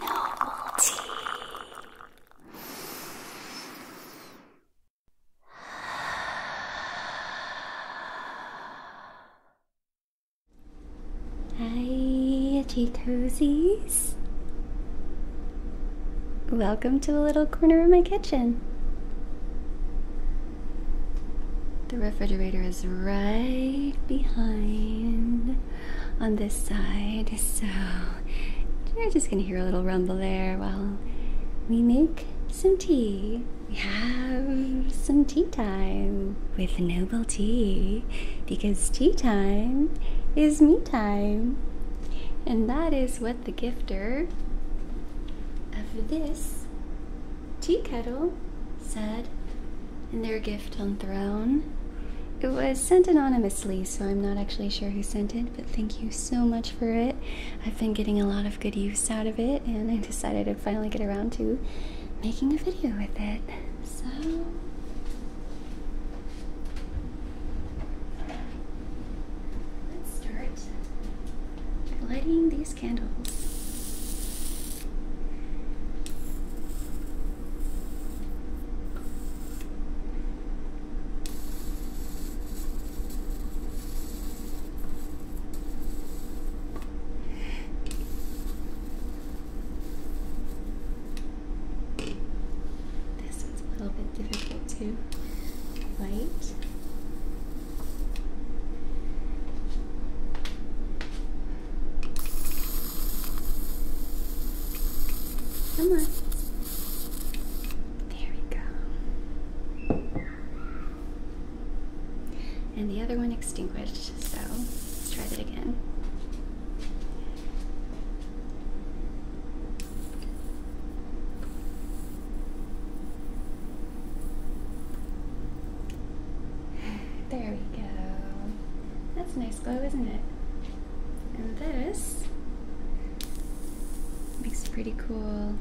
Normal tea. Hi, itchy toesies. Welcome to a little corner of my kitchen. The refrigerator is right behind on this side, so you're just gonna hear a little rumble there while we make some tea. We have some tea time with Noble Tea because tea time is me time, and that is what the gifter of this Tea Kettle said in their gift on Throne. It was sent anonymously, so I'm not actually sure who sent it, but thank you so much for it. I've been getting a lot of good use out of it, and I decided to finally get around to making a video with it. So. Let's start lighting these these This one's a little bit difficult to light. Come on. There we go. And the other one extinguished, so let's try that again. There we go. That's a nice glow, isn't it? And this makes a pretty cool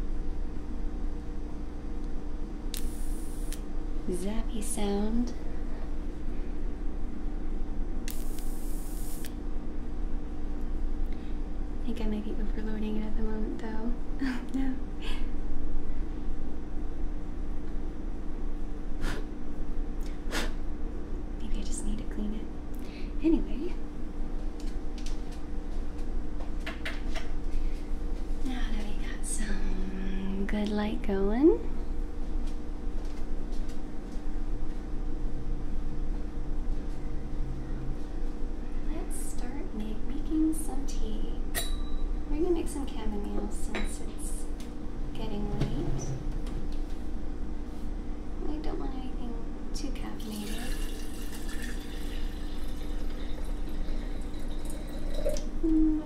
zappy sound. I think I might be overloading it at the moment though. no. Maybe I just need to clean it. Anyway. Now that we got some good light going. Let's start making some tea. We're gonna make some some since it's getting late. I don't want anything too caffeinated. Mm,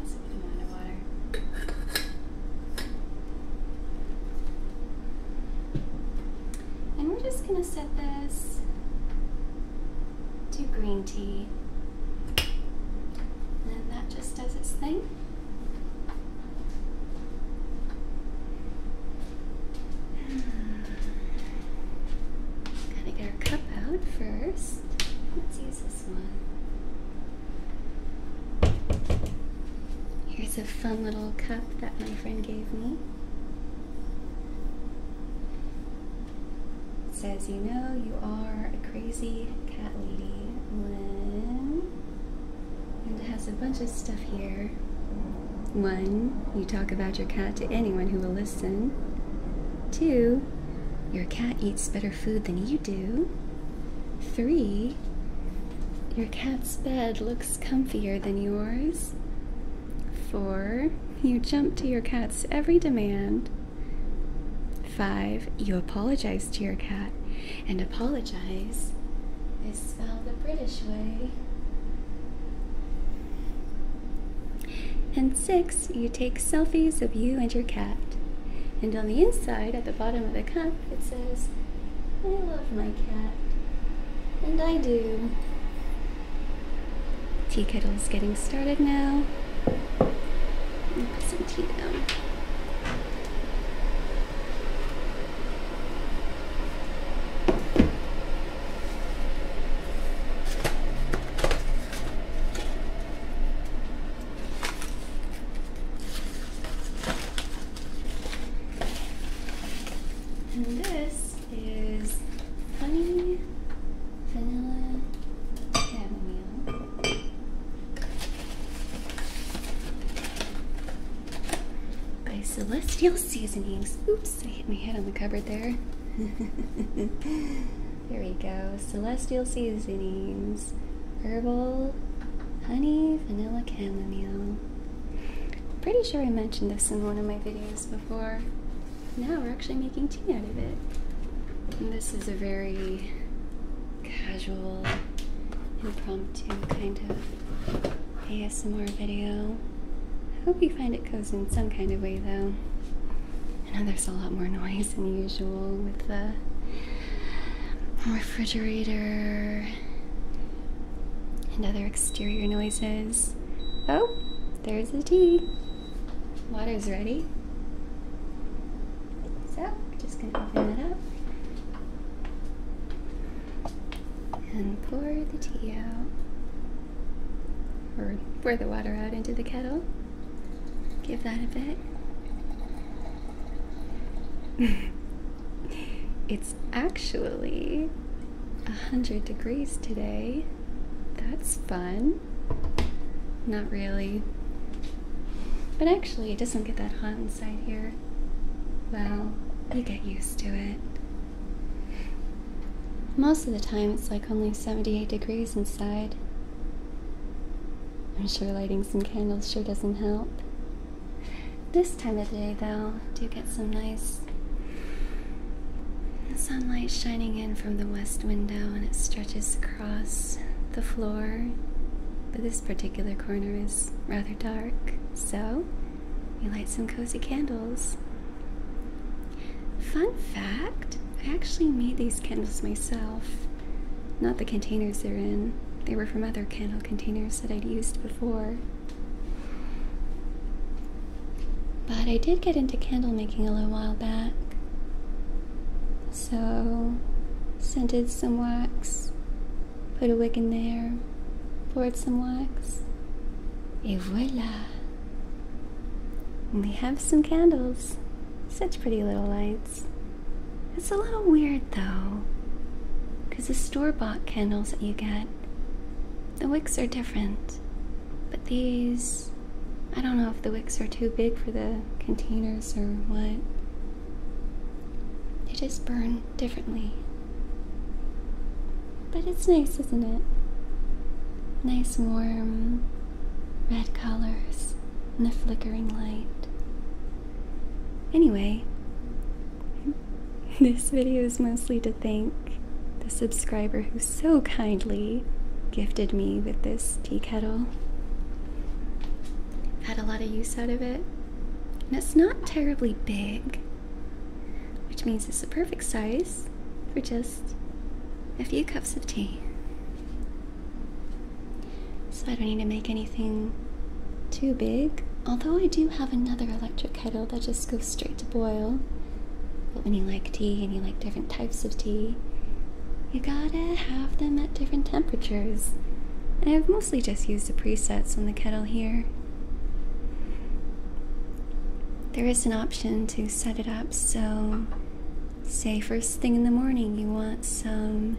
And we're just going to set this to green tea. And that just does its thing. Gotta get our cup out first. Let's use this one. Here's a fun little cup that my friend gave me. It says, You know, you are a crazy cat lady when. And it has a bunch of stuff here. One, you talk about your cat to anyone who will listen. Two, your cat eats better food than you do. Three, your cat's bed looks comfier than yours. Four, you jump to your cat's every demand. Five, you apologize to your cat. And apologize is spelled the British way. And six, you take selfies of you and your cat. And on the inside, at the bottom of the cup, it says, I love my cat. And I do. Tea is getting started now. Put some tea down. And this is honey vanilla chamomile. By Celestial Seasonings. Oops, I hit my head on the cupboard there. there we go. Celestial Seasonings. Herbal honey vanilla chamomile. Pretty sure I mentioned this in one of my videos before now we're actually making tea out of it. this is a very casual, impromptu kind of ASMR video. I hope you find it cozy in some kind of way though. I know there's a lot more noise than usual with the refrigerator and other exterior noises. Oh, there's the tea. Water's ready. So, we're just going to open that up. And pour the tea out. Or pour the water out into the kettle. Give that a bit. it's actually 100 degrees today. That's fun. Not really. But actually, it doesn't get that hot inside here. Well, you get used to it. Most of the time, it's like only 78 degrees inside. I'm sure lighting some candles sure doesn't help. This time of day, though, do get some nice the sunlight shining in from the west window and it stretches across the floor. But this particular corner is rather dark, so we light some cozy candles. Fun fact I actually made these candles myself. Not the containers they're in, they were from other candle containers that I'd used before. But I did get into candle making a little while back. So, scented some wax, put a wick in there, poured some wax, and voila! we have some candles. Such pretty little lights. It's a little weird though, because the store bought candles that you get, the wicks are different. But these, I don't know if the wicks are too big for the containers or what. They just burn differently. But it's nice, isn't it? Nice warm red colors and the flickering light. Anyway, this video is mostly thank the subscriber who so kindly gifted me with this tea kettle. Had a lot of use out of it. And it's not terribly big, which means it's the perfect size for just a few cups of tea. So I don't need to make anything too big. Although I do have another electric kettle that just goes straight to boil. But when you like tea and you like different types of tea, you gotta have them at different temperatures. And I've mostly just used the presets on the kettle here. There is an option to set it up so, say, first thing in the morning, you want some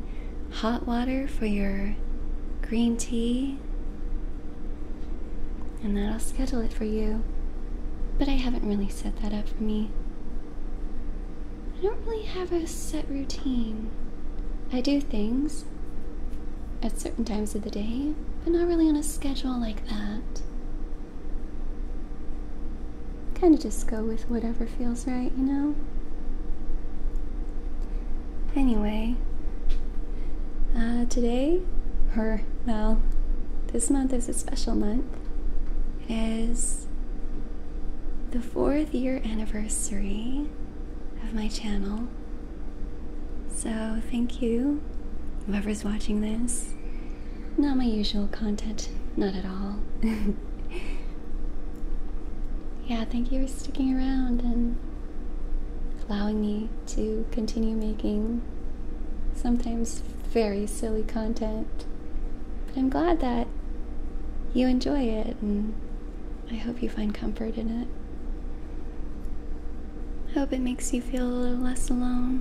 hot water for your green tea and that I'll schedule it for you. But I haven't really set that up for me. I don't really have a set routine. I do things at certain times of the day, but not really on a schedule like that. Kind of just go with whatever feels right, you know? Anyway, uh, today, or well, this month is special month. It is the fourth year anniversary of my channel. So, thank you, whoever's watching this. Not my usual content, not at all. yeah, thank you for sticking around and allowing me to continue making sometimes very silly content. But I'm glad that you enjoy it, and I hope you find comfort in it. I hope it makes you feel a little less alone.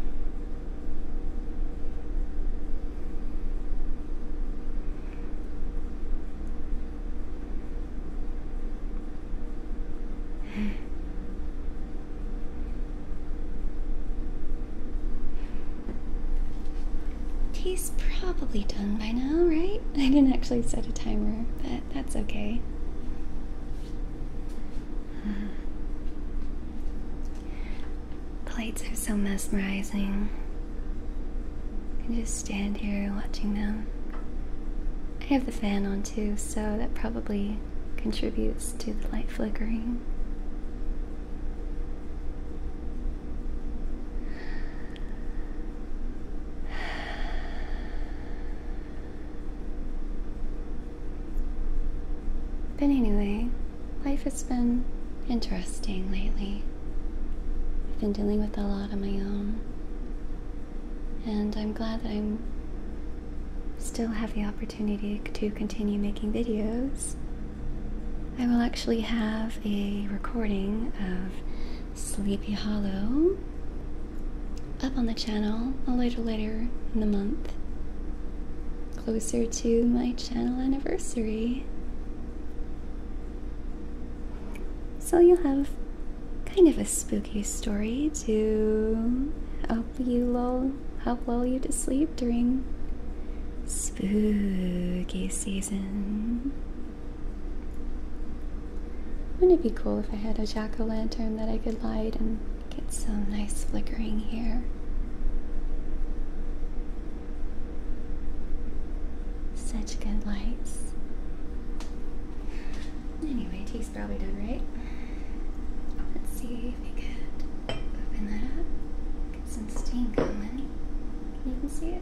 Tea's probably done by now, right? I didn't actually set a timer, but that's okay. Plates are so mesmerizing. You just stand here watching them. I have the fan on too, so that probably contributes to the light flickering. But anyway, life has been interesting lately. I've been dealing with a lot on my own, and I'm glad that I'm still have the opportunity to continue making videos. I will actually have a recording of Sleepy Hollow up on the channel a little later in the month, closer to my channel anniversary. So you'll have kind of a spooky story to help you lull you, how lull you to sleep during spooky season. Wouldn't it be cool if I had a jack o' lantern that I could light and get some nice flickering here? Such good lights. Anyway, take probably done, right? Let's see if we could open that up. Get some steam going. You can see it.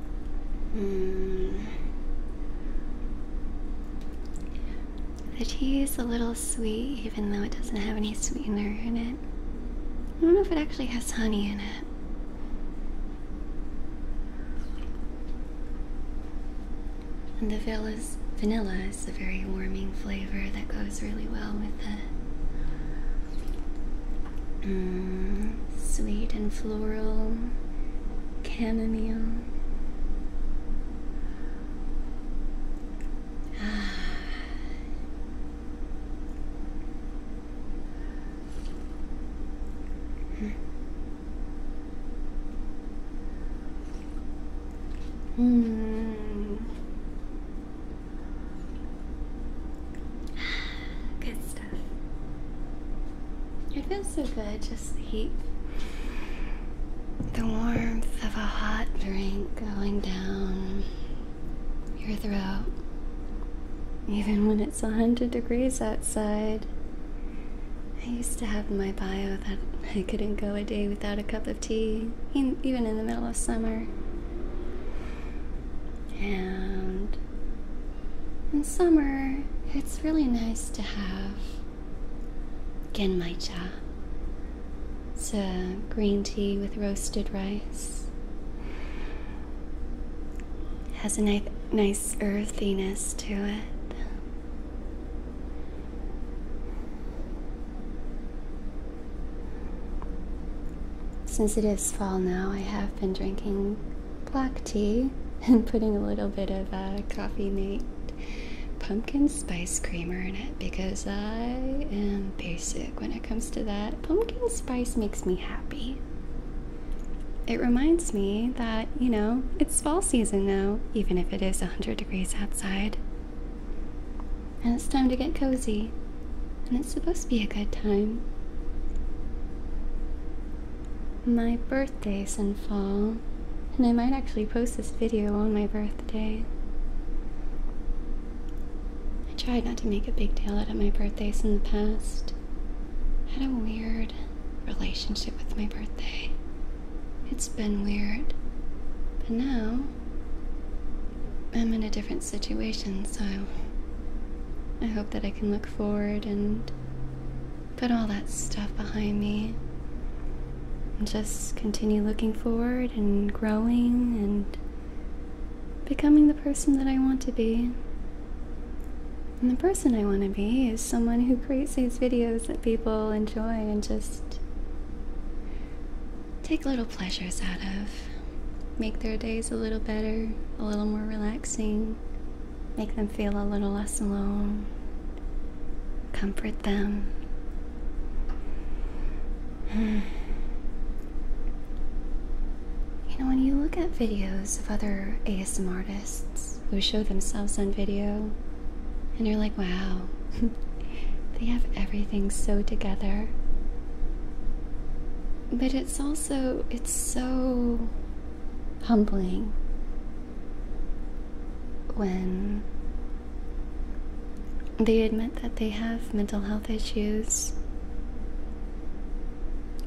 Mm. The tea is a little sweet, even though it doesn't have any sweetener in it. I don't know if it actually has honey in it. And the villas, vanilla is a very warming flavor that goes really well with the sweet and floral, chamomile. Ah. Hmm. Good it feels so good, just the heat. The warmth of a hot drink going down your throat. Even when it's 100 degrees outside. I used to have my bio that I couldn't go a day without a cup of tea, even in the middle of summer. And in summer, it's really nice to have genmaicha. It's a green tea with roasted rice. has a ni nice earthiness to it. Since it is fall now, I have been drinking black tea and putting a little bit of a uh, coffee mate pumpkin spice creamer in it because I am basic when it comes to that. Pumpkin spice makes me happy. It reminds me that, you know, it's fall season now, even if it is 100 degrees outside. And it's time to get cozy. And it's supposed to be a good time. My birthday's in fall, and I might actually post this video on my birthday. I tried not to make a big deal out of my birthdays in the past. I had a weird relationship with my birthday. It's been weird. But now, I'm in a different situation, so I hope that I can look forward and Put all that stuff behind me. And just continue looking forward and growing and becoming the person that I want to be. And the person I want to be is someone who creates these videos that people enjoy and just take little pleasures out of. Make their days a little better, a little more relaxing, make them feel a little less alone, comfort them. You know, when you look at videos of other ASM artists who show themselves on video, and you're like, wow, they have everything so together. But it's also, it's so humbling when they admit that they have mental health issues.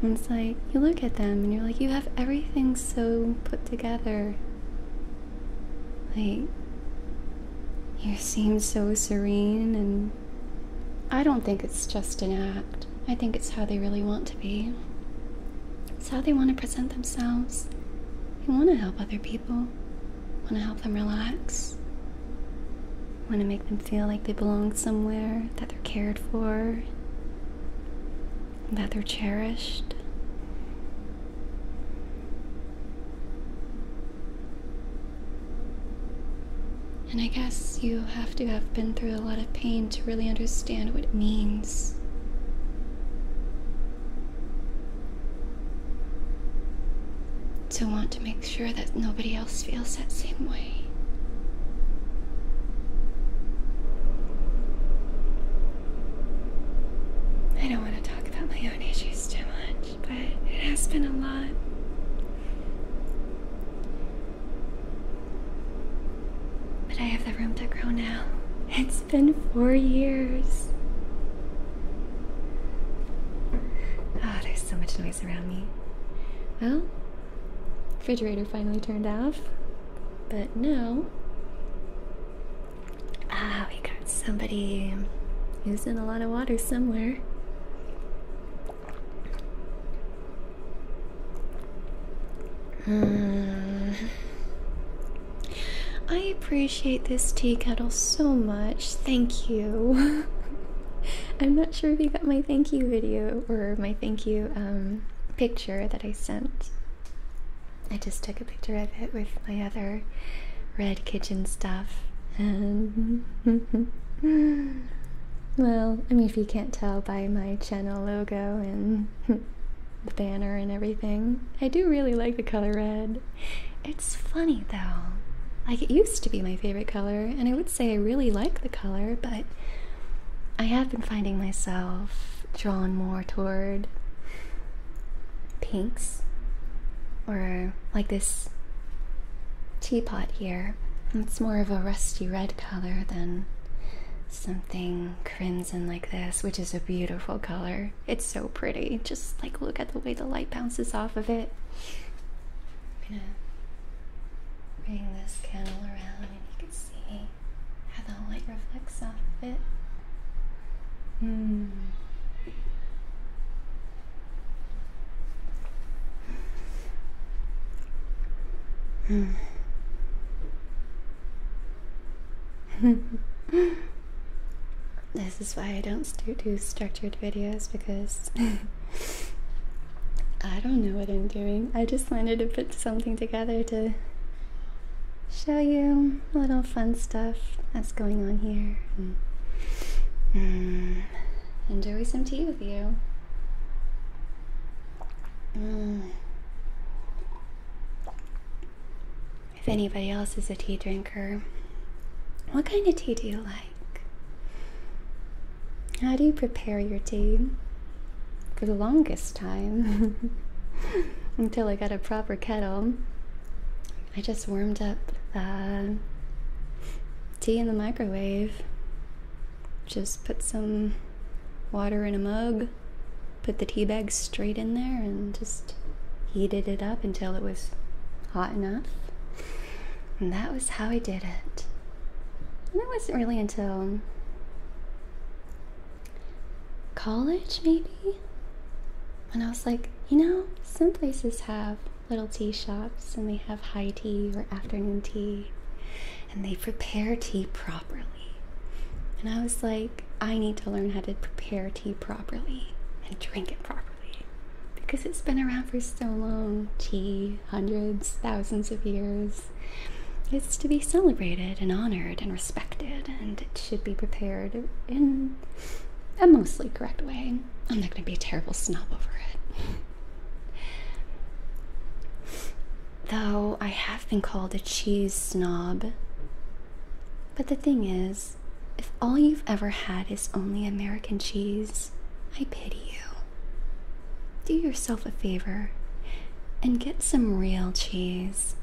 And it's like, you look at them and you're like, you have everything so put together. Like, you seem so serene, and I don't think it's just an act. I think it's how they really want to be. It's how they want to present themselves. They want to help other people, want to help them relax, want to make them feel like they belong somewhere, that they're cared for, that they're cherished. And I guess you have to have been through a lot of pain to really understand understand what it means. To want to make sure that nobody else feels that same way. I don't want to talk about my own issues too much, but it has been a lot. But I have the room to grow now. It's been four years. Ah, oh, there's so much noise around me. Well, refrigerator finally turned off, but now ah, we got somebody using a lot of water somewhere. Hmm. I appreciate this tea kettle so much. Thank you. I'm not sure if you got my thank you video or my thank you um, picture that I sent. I just took a picture of it with my other red kitchen stuff. Well, I mean, if you can't tell by my channel logo and the banner and everything, I do really like the color red. It's funny though. Like, it used to be my favorite color, and I would say I really like the color, but I have been finding myself drawn more toward pinks or like this teapot here. It's more of a rusty red color than something crimson like this, which is a beautiful color. It's so pretty. Just like look at the way the light bounces off of it. I'm gonna bring this candle around and you can see how the light reflects off of it. Hmm. Hmm. this is why I don't do structured videos because I don't know what I'm doing. I just wanted to put something together to show you little fun stuff that's going on here and, hmm. hmm. enjoy some tea with you. Mm. If anybody else is a tea drinker, what kind of tea do you like? How do you prepare your tea? For the longest time, until I got a proper kettle, I just warmed up tea in the microwave just put some water in a mug, put the tea bag straight in there, and just heated it up until it was hot enough. And that was how I did it. And that wasn't really until college, maybe? And I was like, you know, some places have little tea shops and they have high tea or afternoon tea and they prepare tea properly. And I was like, I need to learn how to prepare tea properly and drink it properly because it's been around for so long tea, hundreds, thousands of years. It's to be celebrated and honored and respected, and it should be prepared in a mostly correct way. I'm not going to be a terrible snob over it. Though I have been called a cheese snob. But the thing is, if all you've ever had is only American cheese, I pity you. Do yourself a favor and get some real cheese.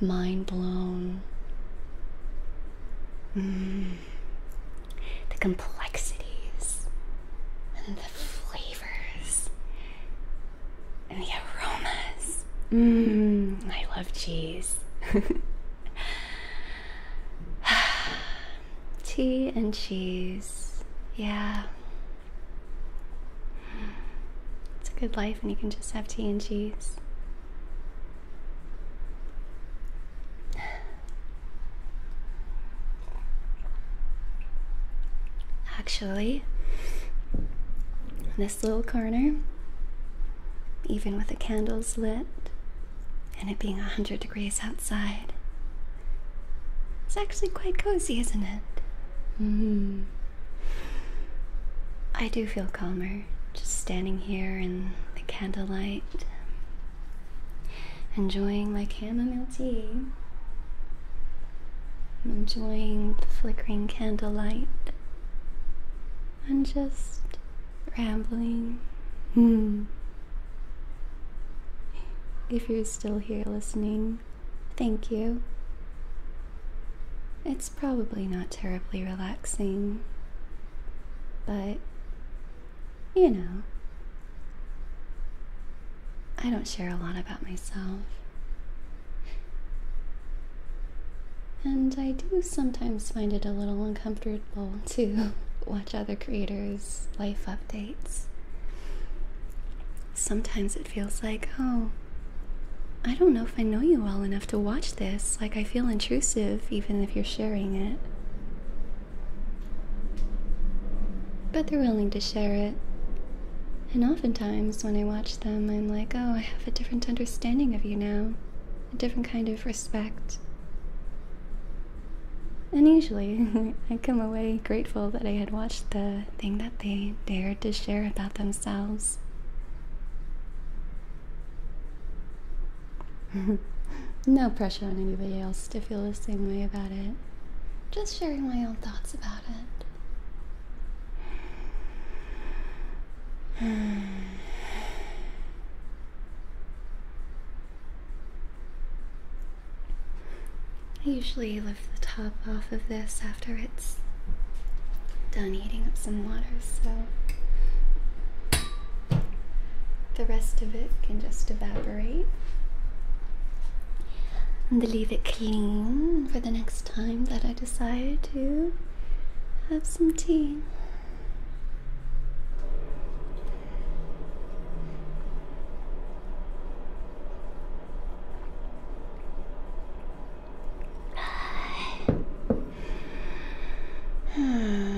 Mind blown. Mm the complexities and the flavors and the aromas. Mmm, I love cheese. Tea and cheese. Yeah. It's a good life, and you can just have tea and cheese. Actually, this little corner, even with the candles lit and it being 100 degrees outside, it's actually quite cozy, isn't it? Mm. I do feel calmer just standing here in the candlelight Enjoying my chamomile tea. I'm enjoying the flickering candlelight. I'm just rambling. Hmm. If you're still here listening, thank you. It's probably not terribly relaxing, but you know, I don't share a lot about myself. And I do sometimes find it a little uncomfortable to watch other creators' life updates. Sometimes it feels like, oh, I don't know if I know you well enough to watch this. Like, I feel intrusive even if you're sharing it. But they're willing to share it. And oftentimes, when I watch them, I'm like, oh, I have a different understanding of you now, a different kind of respect. And usually, I come away grateful that I had watched the thing that they dared to share about themselves. no pressure on anybody else to feel the same way about it. Just sharing my own thoughts about it. I usually lift the top off of this after it's done heating up some water, so the rest of it can just evaporate. and leave it clean for the next time that I decide to have some tea.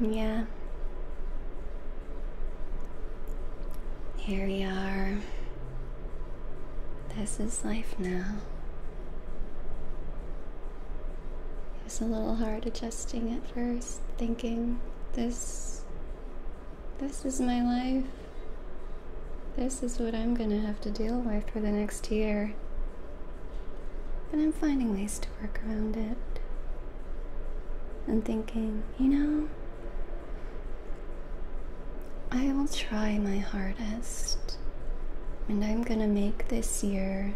Yeah. Here we are. This is life now. It was a little hard adjusting at first, thinking this this is my life. This is what I'm gonna have to deal with for the next year. But I'm finding ways to work around it. I'm thinking, you know, I will try my hardest. And I'm gonna make this year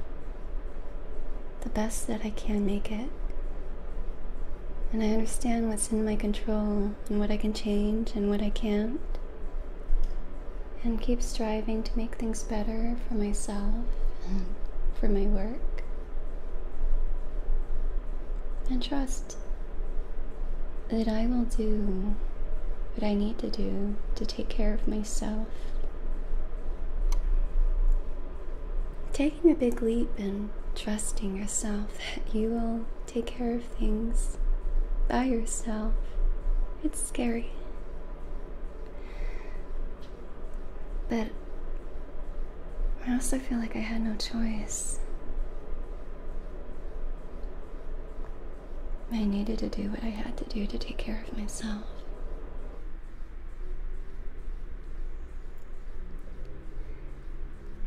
the best that I can make it. And I understand what's in my control and what I can change and what I can't and keep striving to make things better for myself and for my work. And trust that I will do what I need to do to take care of myself. Taking a big leap and trusting yourself that you will take care of things by yourself. It's scary. But I also feel like I had no choice. I needed to do what I had to do to take care of myself.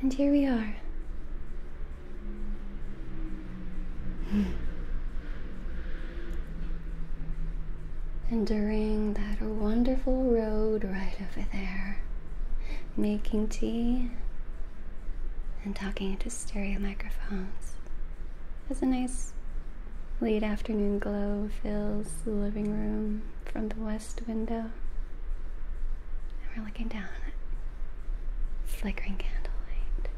And here we are, And during that wonderful road right over there, making tea and talking into stereo microphones, as a nice late afternoon glow fills the living room from the west window. And we're looking down flickering candlelight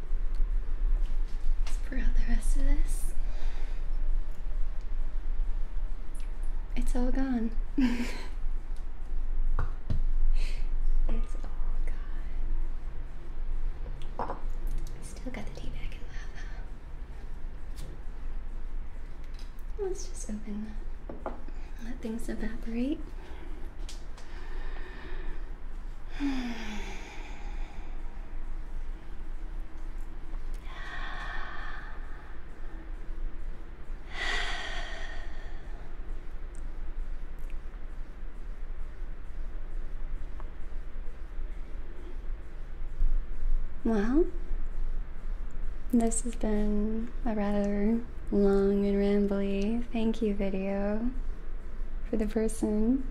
throughout the rest of this. It's all gone. it's all gone. Still got the tea bag and lava. Let's just open Let things evaporate. Well, this has been a rather long and rambly thank you video for the person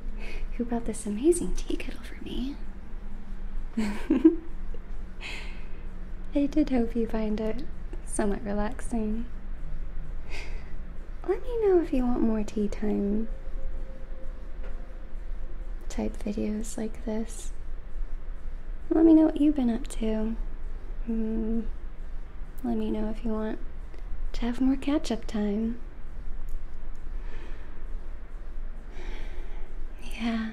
who brought this amazing tea kettle for me. I did hope you find it somewhat relaxing. Let me know if you want more tea time type videos like this. Let me know what you've been up to. Mm, let me know if you want to have more catch up time. Yeah.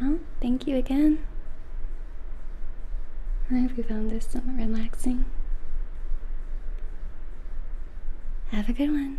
Well, thank you again. I hope you found this somewhat relaxing. Have a good one.